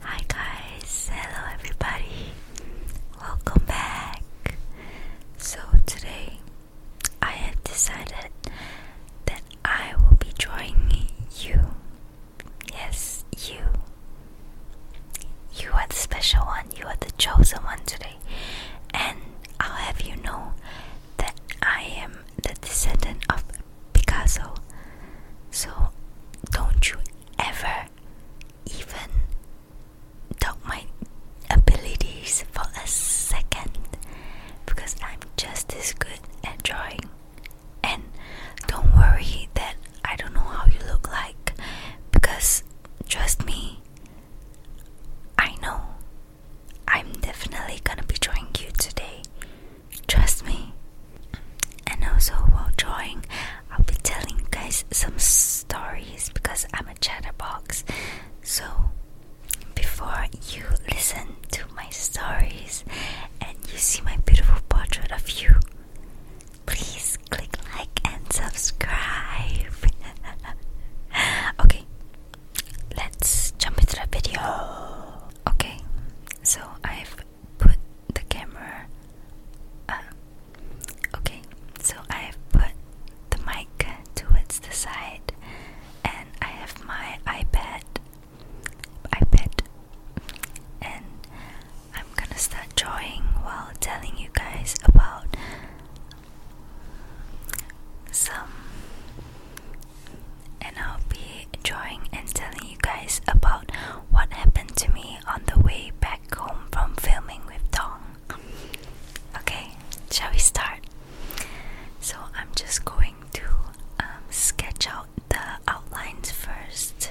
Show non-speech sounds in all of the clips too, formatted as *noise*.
Hi guys, hello everybody, welcome back. So, today I have decided that I will be drawing you. Yes, you. You are the special one, you are the chosen one today, and I'll have you know that I am the descendant of Picasso. So don't you ever even doubt my abilities for a second because I'm just as good at drawing. And don't worry that I don't know how you look like because trust me, I know I'm definitely gonna be drawing you today. Trust me. And also while drawing, I'll be telling you guys some stories because I'm a chatterbox. So before you listen to my stories and you see my beautiful portrait of you, please click like and subscribe. *laughs* okay, let's jump into the video. Okay, so I've put the camera. Uh, okay, so I've put the mic towards the side, and I have my iPad, iPad, and I'm gonna start drawing while telling you guys about some and I'll be drawing and telling you guys about what happened to me on the way back home from filming with Tong. Okay, shall we start? So I'm just going to um, sketch out the outlines first.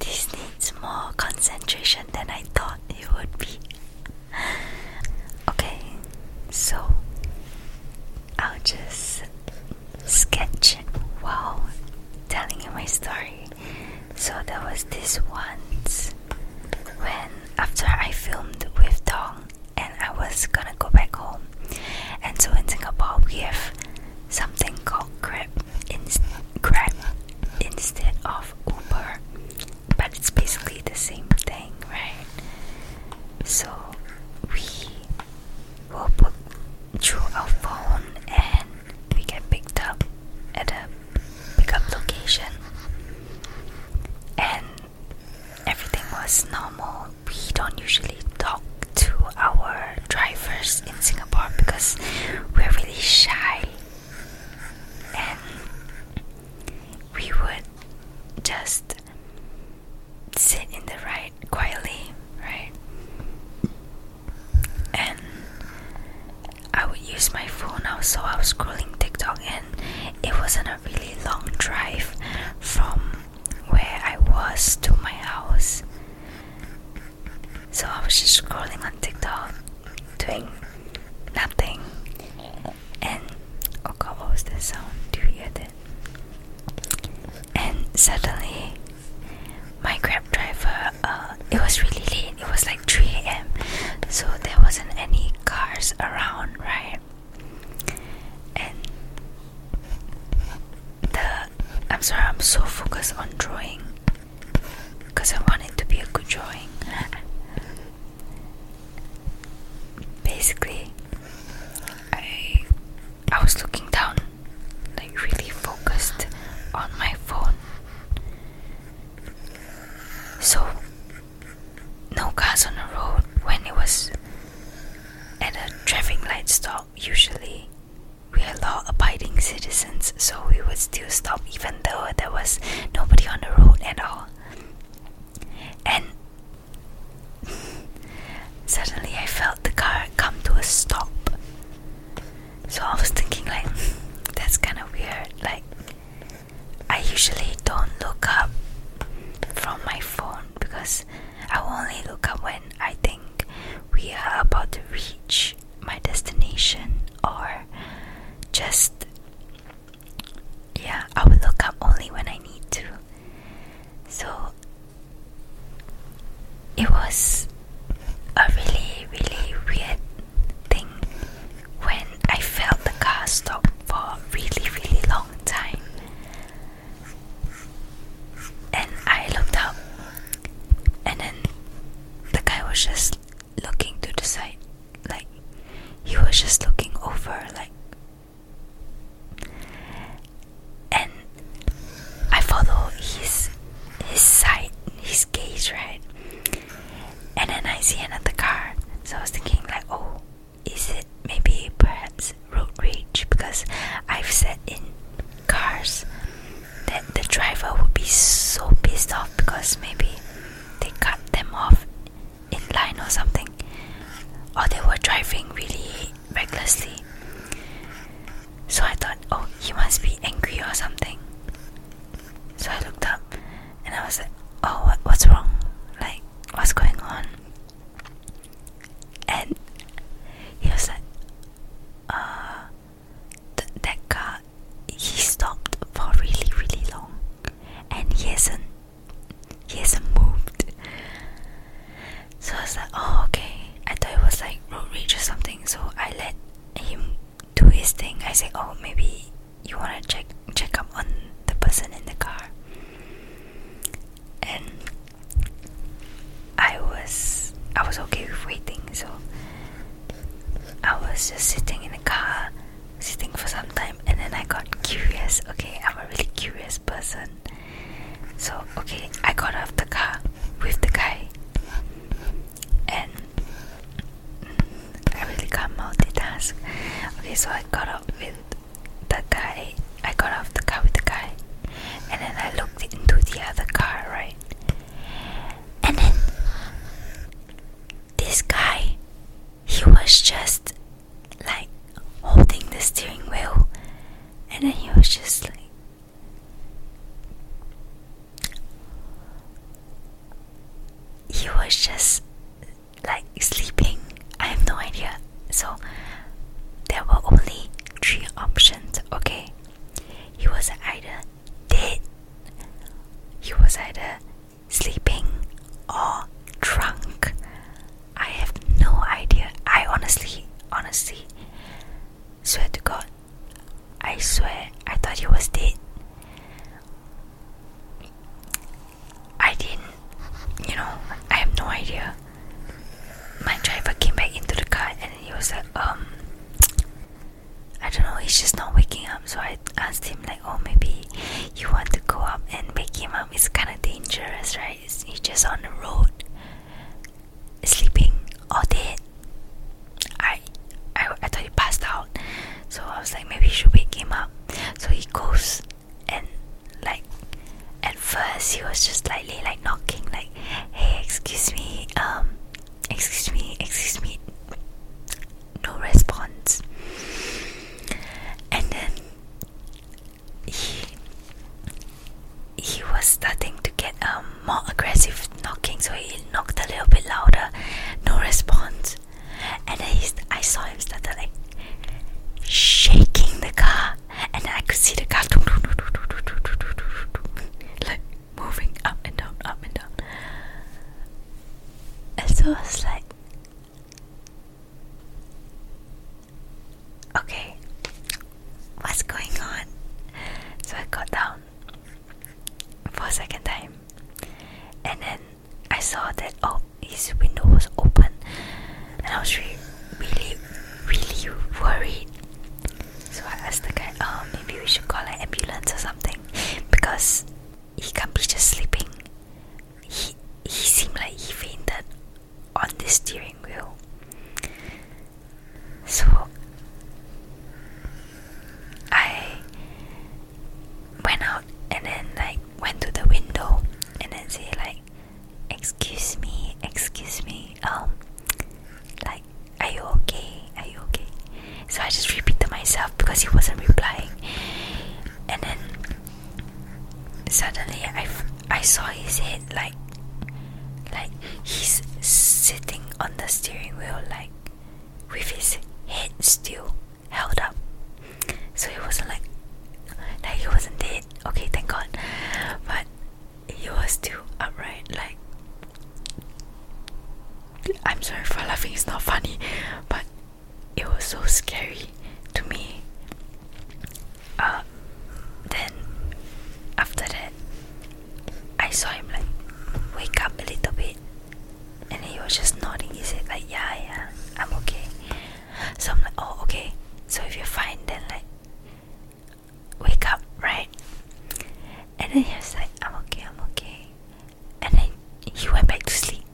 This needs more concentration than I thought it would be. Okay, so I'll just sketch while telling you my story. So there was this once when after I filmed with Dong and I was gonna go back home. And so in Singapore we have something called Grab, instead of Uber, but it's basically the same thing, right? So we will book through our phone and we get picked up at a pickup location, and everything was normal. We don't usually talk to our drivers in Singapore because we're really shy, and we would just sit in the ride quietly, right? And I would use my phone now, so I was scrolling TikTok, and it wasn't a really long drive from where I was to my house. So I was just scrolling on TikTok, doing nothing. And oh god, what was that sound? Do you hear that? And suddenly, my Grab driver, uh, it was really late it was like 3 a.m. So there wasn't any cars around, right? And the I'm sorry, I'm so focused on drawing because I want it to be a good drawing. Basically, I I was looking down, like really focused on my phone. So no cars on the road when it was at a traffic light stop usually we are law abiding citizens so we would still stop even though there was nobody on the road at all and *laughs* suddenly i felt the car come to a stop so i was thinking like *laughs* that's kind of weird like I usually don't look up from my phone because I only look up when I think we are about to reach my destination or just yeah, I will look up only when I need to. So it was a really, really weird thing when I felt the car stop for a really, really long time. And I looked up, and then the guy was just looking to the side, like he was just looking over, like. And I follow his his side, his gaze, right? And then I see another car. So I was thinking like, oh, is it maybe perhaps road rage? Because I've sat in cars that the driver would be so pissed off because maybe they cut them off in line or something. Or they were driving really recklessly. So I thought, oh, he must be angry or something. So I looked up and I was like, "Oh, what's wrong? Like, what's going on?" And he was like, "Uh, th that car, he stopped for really, really long, and he hasn't, he hasn't moved." So I was like, "Oh, okay." I thought it was like road rage or something, so I let him do his thing. I said, "Oh, maybe you want to check check up on the person in the car and i was i was okay with waiting so i was just sitting in the car sitting for some time and then i got curious okay i'm a really curious person so okay i got off the car with the guy and I really can multitask. Okay, so I got up with the guy. I got off the car with the guy, and then I looked into the other car, right? And then this guy, he was just like holding the steering wheel, and then he was just like. He was just like sleeping. I have no idea. So there were only three options, okay? He was either dead, he was either sleeping, or drunk. I have no idea. I honestly, honestly swear to God, I swear I thought he was dead. I didn't, you know, I have no idea. My driver came back into the car and he was like, um, I don't know, he's just not waking up. So I asked him, like, oh, maybe you want to go up and wake him up. It's kind of dangerous, right? he's just on the road, sleeping all day. I, I, I thought he passed out. So I was like, maybe you should wake him up. So he goes and like at first he was just slightly like knocking like hey excuse me um excuse me excuse me no response and then he he was starting to get um more aggressive knocking so he knocked a little bit louder no response and then I saw him started like shaking the car, and then I could see the car *laughs* like moving up and down, up and down. And so I was like, okay, what's going on? So I got down for a second time, and then I saw that oh his window was open and I was really really really worried. So I asked the guy, oh maybe we should call an ambulance or something because he can't be just sleeping. He he seemed like he fainted on the steering wheel. So I went out and then like went to the window and then say like excuse me excuse me um like are you okay are you okay so i just repeat to myself because he wasn't replying and then suddenly i i saw his head like like he's sitting on the steering wheel like with his head still held up. So he wasn't like, like he wasn't dead. Okay, thank God. But he was still upright. Like, I'm sorry for laughing. It's not funny, but it was so scary to me. Uh, then after that, I saw him like wake up a little bit and he was just nodding. He said like, yeah, yeah, I'm okay. So I'm like, oh, okay. So if you're fine, then like, wake up, right? And then he was like, I'm okay, I'm okay. And then he went back to sleep.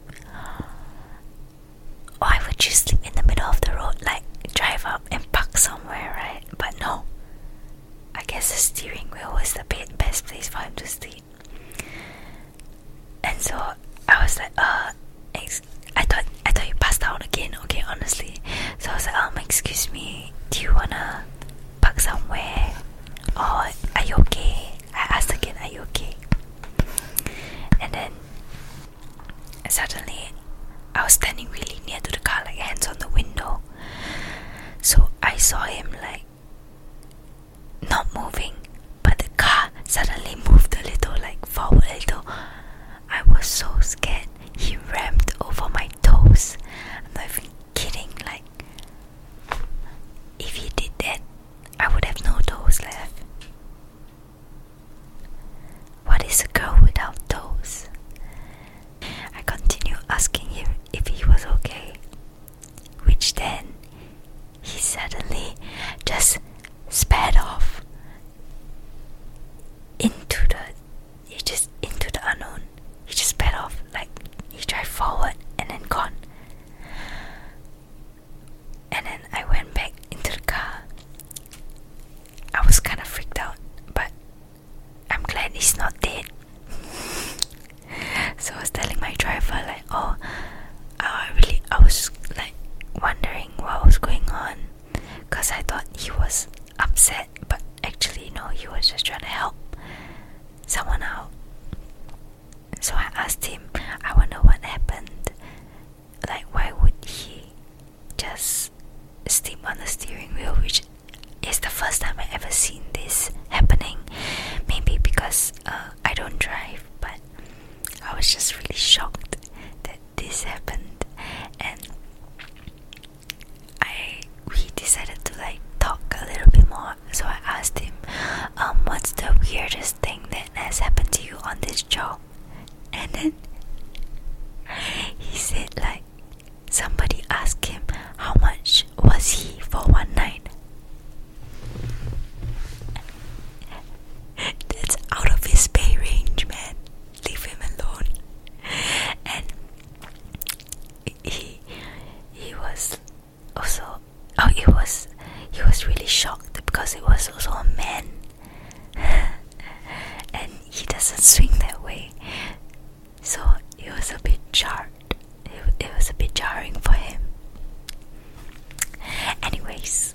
Why would you sleep in the middle of the road? Like, drive up and park somewhere, right? But no. I guess the steering wheel was the best place for him to sleep. And so I was like, uh, I thought I thought you passed out again. Okay, honestly. So I was like, um, excuse me, do you wanna park somewhere? Or are you okay? I asked again, are you okay? And then suddenly I was standing really near to the car, like hands on the window. So I saw him like not moving, but the car suddenly moved a little, like forward a little. I was so scared. He rammed over my toes. I'm not even kidding. Like, if he did that, I would have no toes left. What is a girl without toes? I continued asking him if he was okay, which then he suddenly just sped off into the he just into the unknown. He just sped off like he drove forward and then gone. And then I went back into the car. I was kind of freaked out, but I'm glad he's not dead. *laughs* so I was telling my driver like oh, I really, I was like wondering what was going on, cause I thought he was upset, but actually no, he was just trying to help someone out. So I asked him, I wonder what happened. Like, why would he just step on the steering wheel, which is the first time I ever seen this happening. Maybe because uh, I don't drive, but I was just really shocked that this happened and I we decided to like talk a little bit more so I asked him um what's the weirdest thing that has happened to you on this job and then he said like somebody asked him how much was he for one night that's out of his pay range, man. Leave him alone. And he he was also oh he was he was really shocked because it was also a man *laughs* and he doesn't swing that way so it was a bit jarred it was a bit jarring for him anyways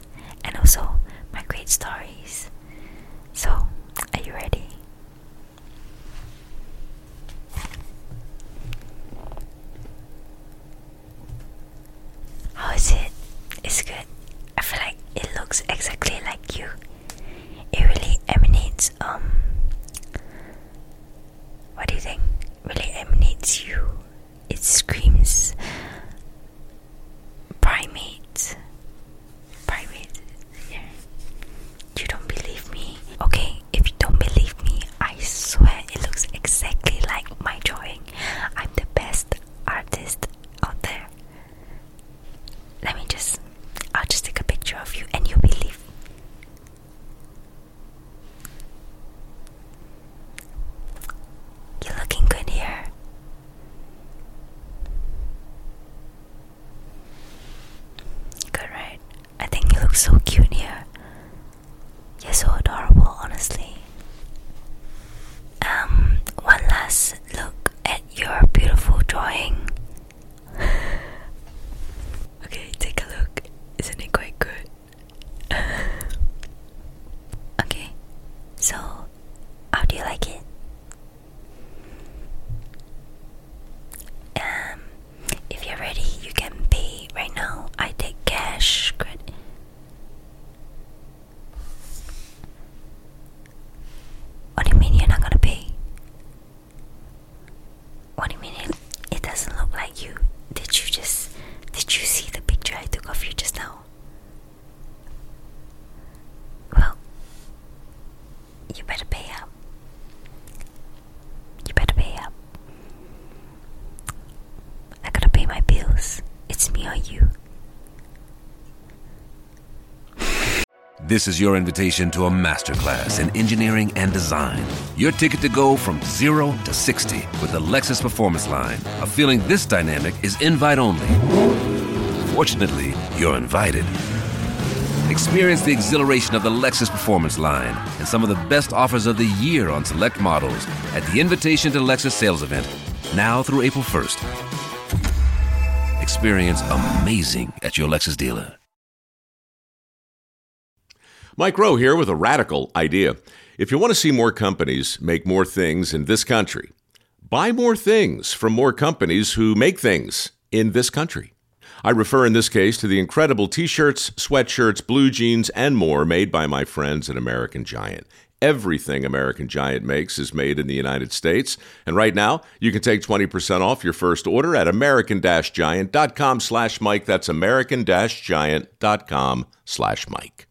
and also my great stories. So, are you ready? How is it? It's good. I feel like it looks exactly like you. It really emanates, um, what do you think? Really emanates you it screams primate. Primate. Yeah. You don't believe me? Okay, if you don't believe me, I swear it looks exactly like my drawing. I'm the best artist out there. Let me just I'll just take a picture of you and you'll believe. You're looking good here. Good, right? I think you look so cute here. You're so adorable, honestly. Um, one last look at your beautiful drawing. *laughs* okay, take a look. Isn't it quite good? *laughs* okay, so how do you like it? Um, if you're ready, you can pay right now. I take cash. Credit. What do you mean you're not gonna pay? What do you mean it, it doesn't look like you? Did you just did you see the picture I took of you just now? Well, you better pay up. You better pay up. I gotta pay my bills. It's me or you. This is your invitation to a masterclass in engineering and design. Your ticket to go from zero to 60 with the Lexus Performance Line. A feeling this dynamic is invite only. Fortunately, you're invited. Experience the exhilaration of the Lexus Performance Line and some of the best offers of the year on select models at the Invitation to Lexus sales event, now through April 1st. Experience amazing at your Lexus dealer. Mike Rowe here with a radical idea. If you want to see more companies make more things in this country, Buy more things from more companies who make things in this country. I refer in this case to the incredible t shirts, sweatshirts, blue jeans, and more made by my friends at American Giant. Everything American Giant makes is made in the United States. And right now, you can take 20% off your first order at american-giant.com slash Mike. That's american-giant.com slash Mike.